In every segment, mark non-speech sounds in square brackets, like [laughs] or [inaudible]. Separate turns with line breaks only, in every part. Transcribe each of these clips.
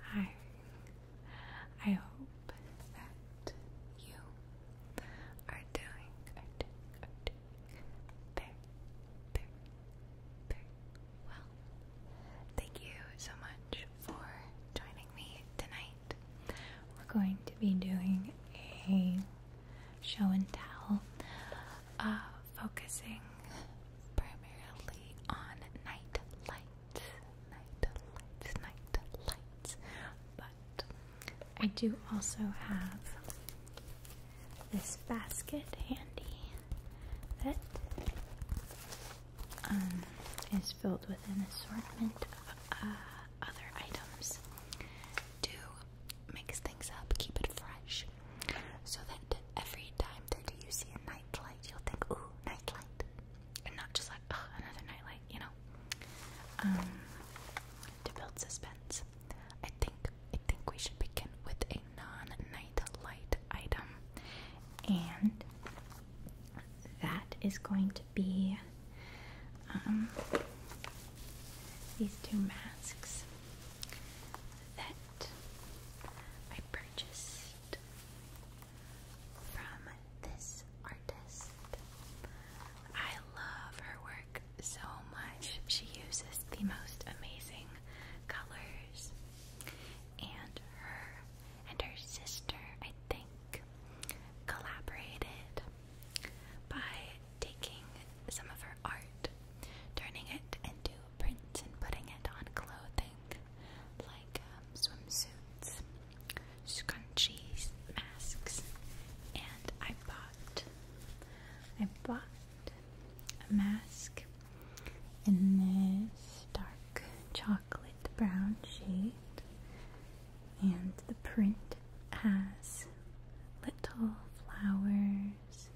Hi. I hope that you are doing, well. Thank you so much for joining me tonight. We're going to be doing a show and tell, uh, focusing primarily on night lights, night lights, night lights. But I do also have this basket handy that um, is filled with an assortment of uh, other items to mix things up, keep it fresh so that every time that you see a nightlight, you'll think, ooh, nightlight. And not just like, oh, another nightlight, you know? Um, to build suspense, I think I think we should begin with a non-night light item, and that is going to be um, these two masks I purchased from this artist. I love her work so much. She uses the most amazing colors. And her and her sister, I think, collaborated by taking some of her art, turning it into print and putting it on clothing like um, swimsuits, scrunchies, masks, and I bought I bought a mask in this dark chocolate brown shade, and the print has little flowers,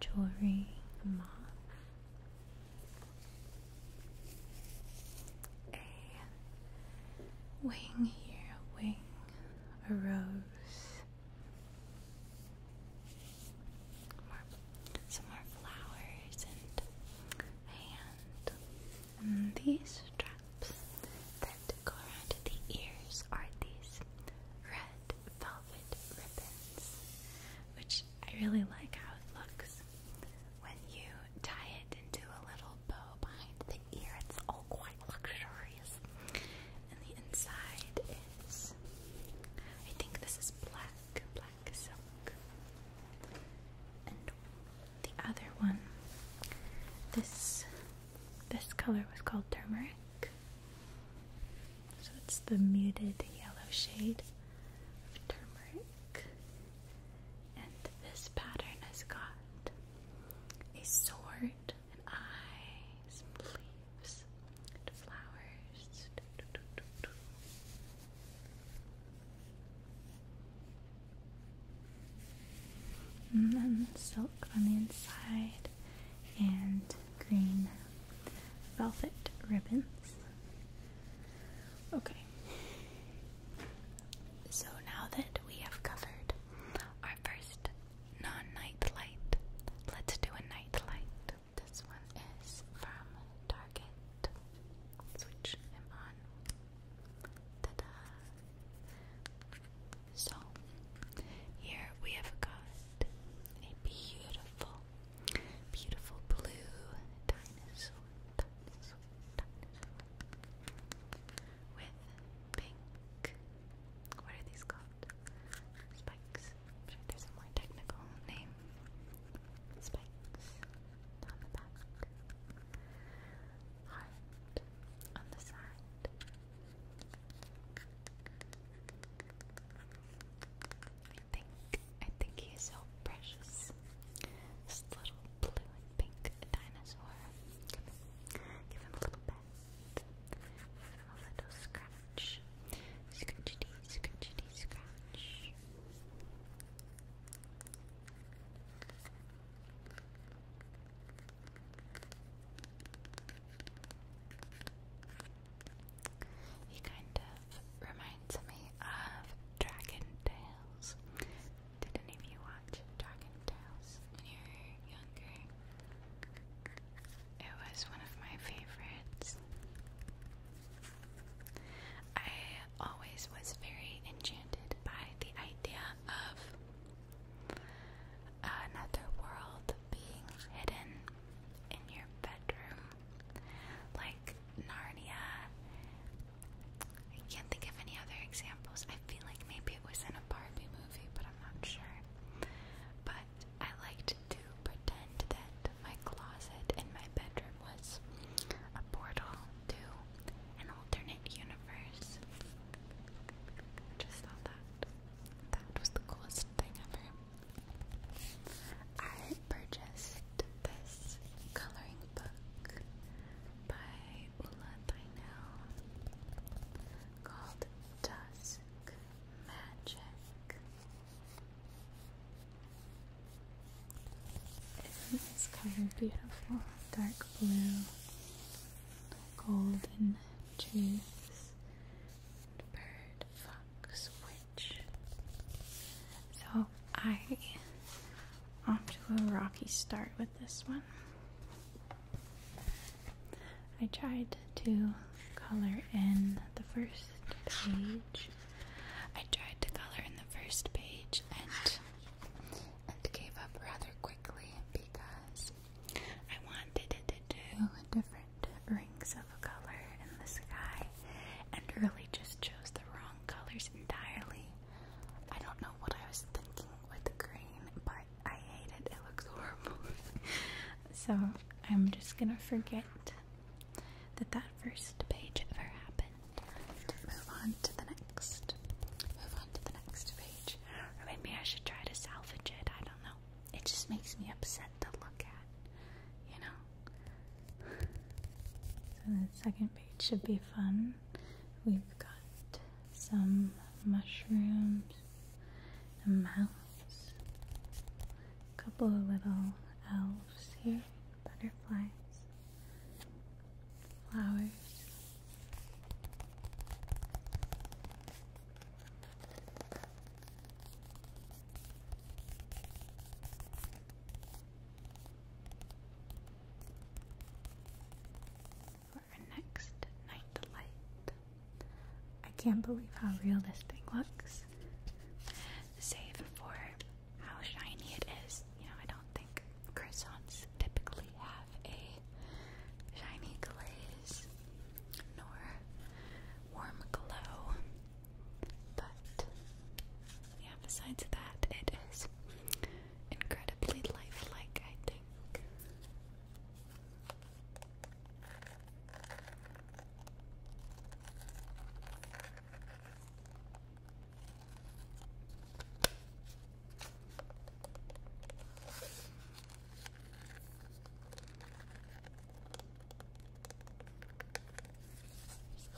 jewelry, moth a wing here, wing, a rose, some more flowers, and a hand. And these straps that go around the ears are these red velvet ribbons, which I really like how it looks. When you tie it into a little bow behind the ear, it's all quite luxurious. And the inside is, I think this is black, black silk. And the other one, this this color was called turmeric. So it's the muted yellow shade of turmeric. And this pattern has got a sword, and eye, some leaves, and flowers. And then silk on the inside and green velvet ribbons. Okay. So now that we have covered our first non-night let's do a night This one is from Target. Switch him on. Ta-da! So here we have got a beautiful Beautiful blue dinosaur, With pink. What are these called? Spikes. there's a more technical name. Spikes on the back. Heart on the side. I think I think he is so precious. This little blue and pink dinosaur. Give him, give him a little pet. Give him a little scratch. Scratchity, scratchity, scratch. He kind of reminds me of Dragon Tales. Did any of you watch Dragon Tales when you were younger? It was one of my favorites. I always was very enchanted by the idea of another world being hidden in your bedroom like Narnia. I can't think of any other examples. I feel like maybe it was in a Barbie movie, but I'm not sure. But I liked to pretend that my closet and my bedroom was a portal to an alternate universe. just thought that that was the coolest thing ever. I purchased this coloring book by Ula Tynell called Dusk Magic. Isn't this color beautiful? Dark blue, golden trees, bird, fox, wing. So I off to a rocky start with this one. I tried to color in the first page. I tried to color in the first page and and gave up rather quickly because I wanted it to do a different rings of color in the sky and really just chose the wrong colors entirely. I don't know what I was thinking with the green, but I hate it. It looks horrible. [laughs] so I'm just gonna forget that that first page ever happened. Move on to the next. Move on to the next page. maybe I should try to salvage it. I don't know. It just makes me upset to look at. You know? So the second page should be fun. We've got some mushrooms, a mouse, a couple of little elves here, butterflies, flowers. For our next night delight, I can't believe how real this thing looks. Save for how shiny it is. You know, I don't think croissants typically have a shiny glaze nor warm glow. But yeah, besides that, it is incredibly lifelike, I think.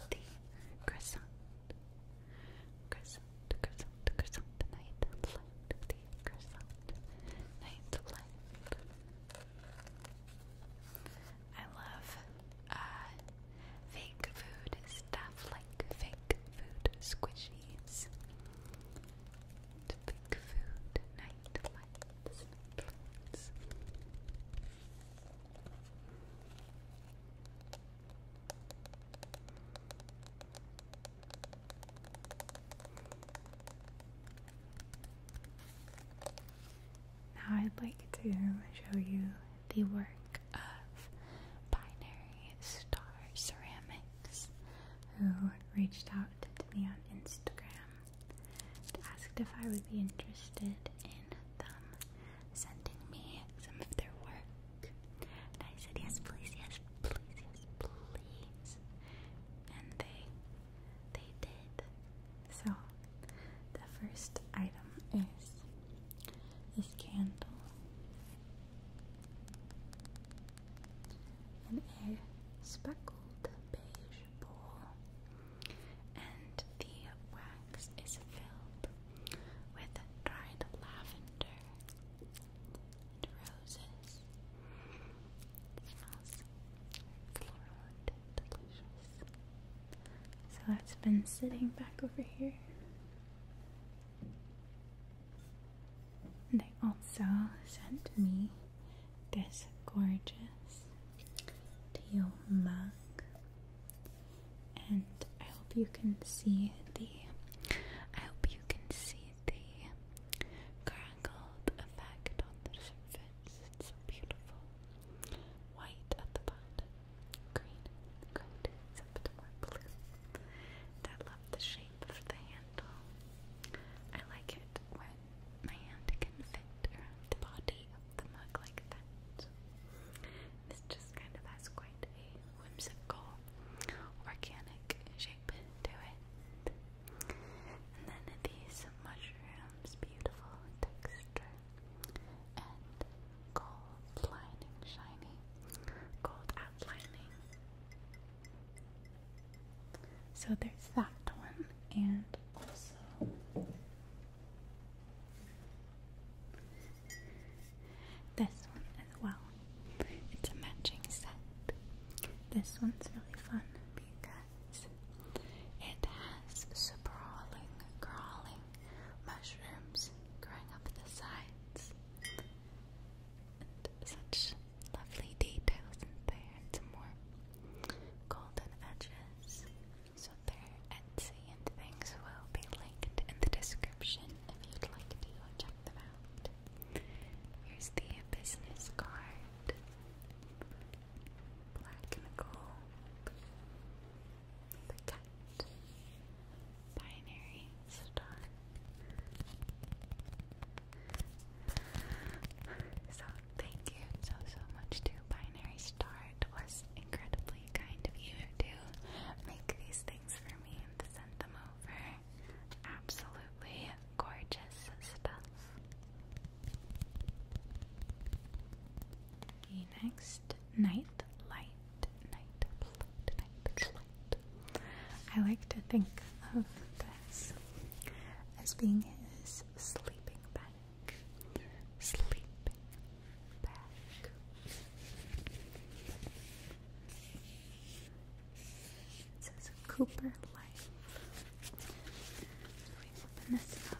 The crescent, crescent, crescent, crescent, the night and light, the crescent, night light. I love fake food stuff like fake food squishies, fake food night light. Now, I'd like to show you the work of Binary Star Ceramics, who reached out to me on Instagram asked if I would be interested in them sending me some of their work. And I said, yes, please, yes, please, yes, please. And they, they did. So, the first item is this candle. and a speckled beige and the wax is filled with dried lavender and roses. smells floral and delicious. So that's been sitting back over here. they also sent me this gorgeous teal mug. And I hope you can see the I hope you can see the crinkled effect on the surface. It's so beautiful. White at the bottom, green at the coat, more blue. I love the shape of the handle. I like it that my hand can fit around the body of the mug like that. This just kind of has quite a whimsical, organic shape to it. And then these mushrooms, beautiful texture and gold lining, shiny gold outlining. So there's that one, and also this one as well. It's a matching set. This one's really fun because it has sprawling, crawling mushrooms growing up the sides. And such lovely details in there, and some more golden edges. So their Etsy and things will be linked in the description if you'd like to check them out. Here's the business card. Black and gold. The cat. Binary star. So Thank you so, so much to Binary Star. It was incredibly kind of you to make these things for me and to send them over. Absolutely gorgeous stuff. Okay, next, Night Light. Night Light. Night Light. I like to think of this as being his sleeping bag sleeping back. It says Cooper Life. we open this up.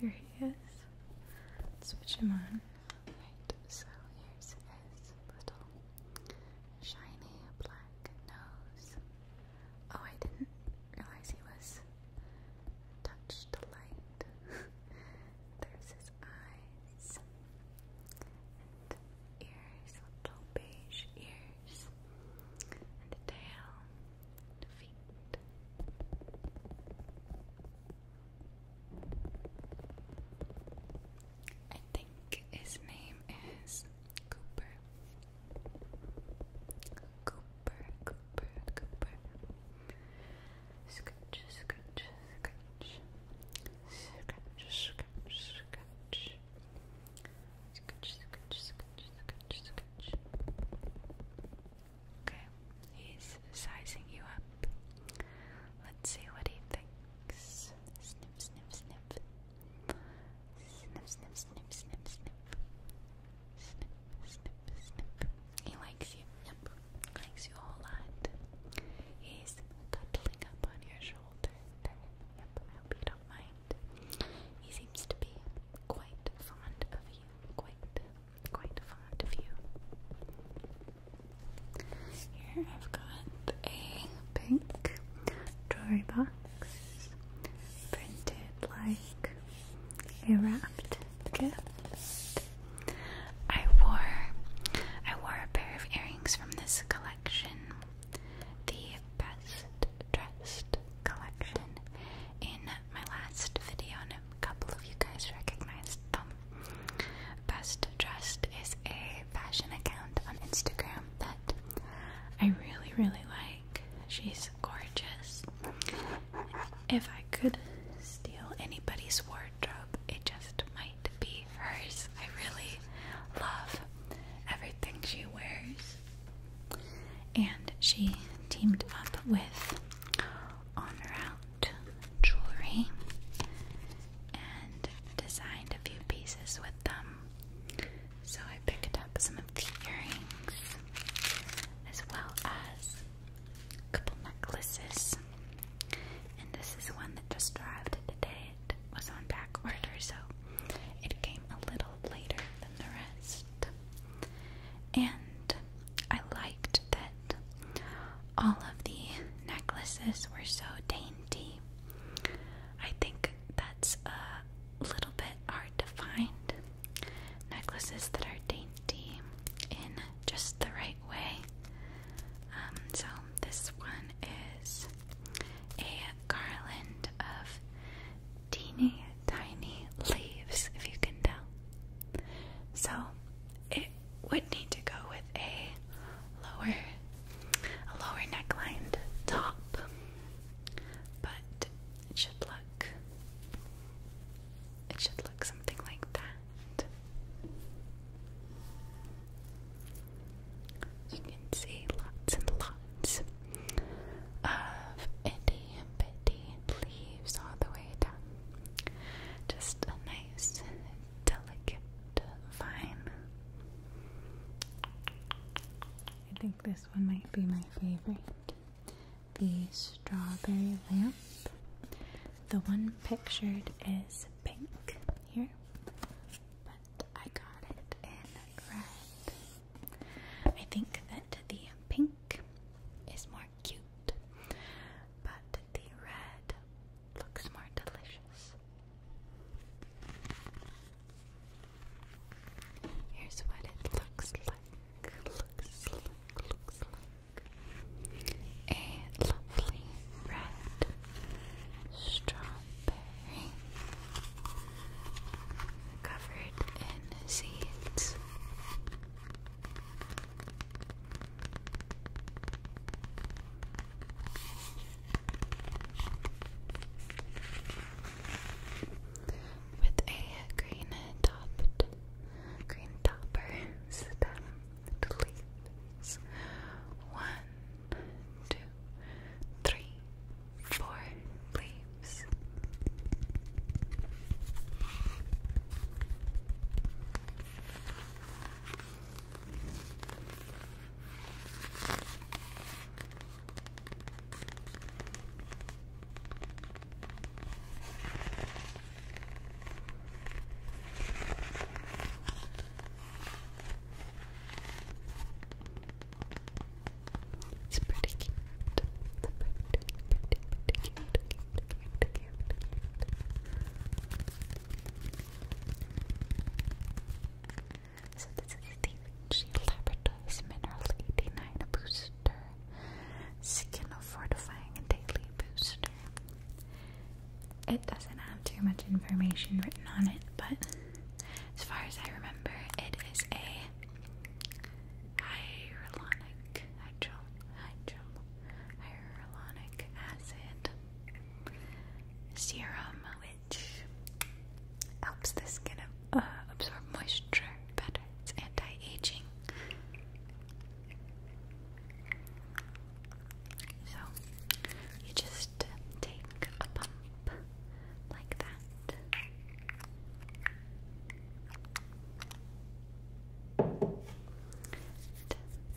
Here he is. Let's switch him on. Right, so here's his little shiny black nose. Oh, I didn't realize he was touched to light. [laughs] There's his eyes and ears, little beige ears, and a tail, and feet. I think his name is Cooper. Cooper, Cooper, Cooper. Scratch, scratch, scratch. Scratch, scratch, scratch. Scratch, scratch, scratch, scratch, scratch. Okay, he's sizing you up. Let's see what he thinks. Snip, snip, snip. Snip, snip, snip, snip, snip. Snip, snip, snip. He likes you. Yep. Likes you a whole lot. He's cuddling up on your shoulder. Yep. I hope you don't mind. He seems to be quite fond of you. Quite quite fond of you. Here I've got a pink jewelry box printed like a wrapped gift. I wore I wore a pair of earrings from this collection, the best dressed collection in my last video, and a couple of you guys recognized them. Best Dressed is a fashion account on Instagram that I really, really like. She's gorgeous. If I could steal anybody's wardrobe, it just might be hers. I really love everything she wears. And she teamed up with Honor. Route jewelry and designed a few pieces with them. So I picked up some of the earrings as well as a couple necklaces. And this is one that just arrived today. It was on back order, so it came a little later than the rest. And I liked that all of the necklaces were so dainty. I think that's a little bit hard to find. Necklaces that are dainty in just the right way. Um, so, this one is a garland of teeny tiny leaves, if you can tell. So it would need to go with a lower a lower necklined top. But it should look it should look something like that. You can see lots and lots of itty and leaves all the way down just a nice, delicate fine. I think this one might be my favorite. The strawberry lamp. The one pictured is pink here, but I got it in red. I think that the pink is more cute, but the red looks more delicious. Here's what it looks like. looks like a lovely red strawberry covered in seeds. With a green topped, green topper stem to leaves. One, two, three, four leaves. It's pretty cute. Pretty, pretty, pretty, pretty cute. So this is the Vinci Laboratories Mineral 89 Booster. Skin Fortifying Daily Booster. It doesn't have too much information written on it, but as far as I remember, it is a hyaluronic hydro, hydro, hyaluronic acid serum, which helps the skin uh, absorb moisture better. It's anti-aging. So you just take a pump like that.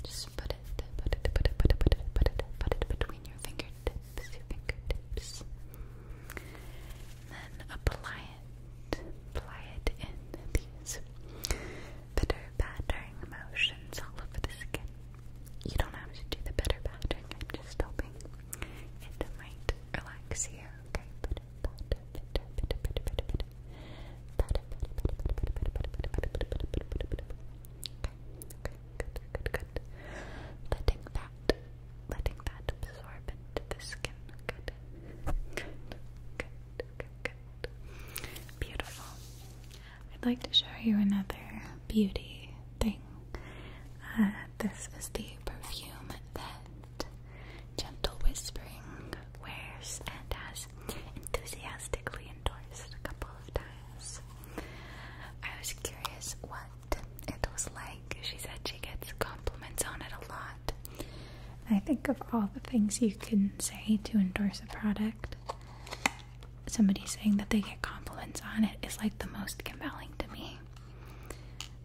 Just put it, put it, put it, put it, put it, put it, put it between your fingertips, your fingertips. Then apply it, apply it in these bitter battering motions all over the skin. You don't have to do the bitter battering. I'm just hoping it might relax you. Okay, good, good. Letting that, letting that absorb into the skin. Good, good, good, good, Beautiful. I'd like to show you another beauty thing. this is the perfume that Gentle Whispering wears and has enthusiastically endorsed a couple of times. I was curious what it was like. She said she gets compliments on it a lot. I think of all the things you can say to endorse a product, somebody saying that they get compliments on it is like the most compelling to me.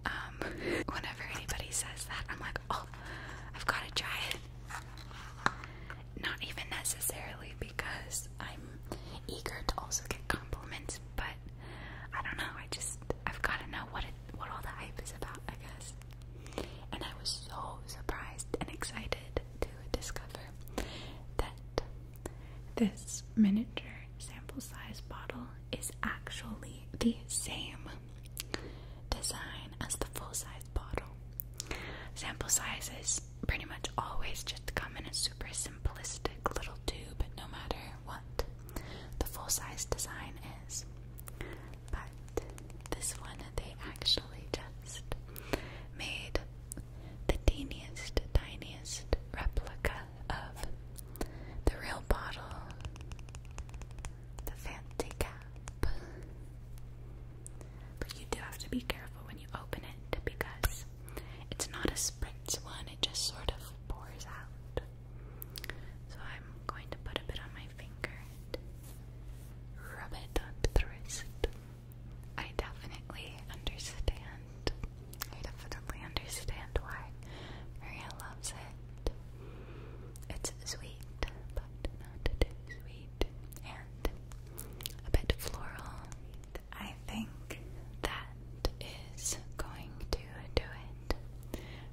Um, [laughs] whenever anybody says that, I'm like, I've got to try it. Not even necessarily because I'm eager to also get compliments, but I don't know. I just I've got to know what it what all the hype is about, I guess. And I was so surprised and excited to discover that this miniature sample size bottle is actually the same design as the full-size bottle. Sample sizes pretty much always just come in a super simplistic little tube, no matter what the full-size design is. But this one, they actually just made the teeniest, tiniest replica of the real bottle the fancy cap. But you do have to be careful when you open it because it's not a spritz one, it just sort of pours out. So I'm going to put a bit on my finger and rub it on the wrist. I definitely understand. I definitely understand why Maria loves it. It's sweet, but not too sweet, and a bit floral. I think that is going to do it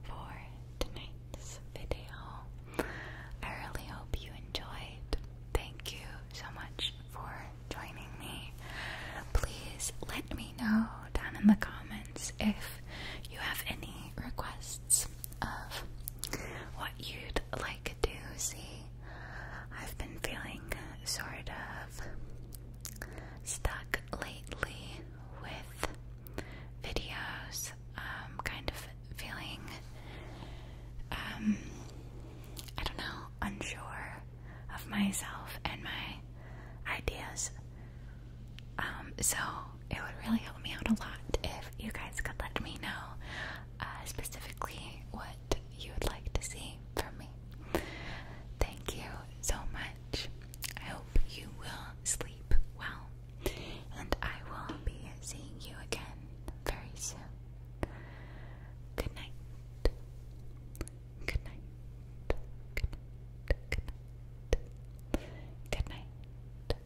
for tonight's video. I really hope you enjoyed. Thank you so much for joining me. Please let me know down in the comments if you have any requests of what you'd like to see. I've been feeling sort of stuck lately with videos, um, kind of feeling, um, I don't know, unsure of myself and my ideas. Um, so it would really help me out a lot if you guys could let me know uh, specifically what you would like to see from me. Thank you so much. I hope you will sleep well, and I will be seeing you again very soon. Good night. Good night. Good night. Good night.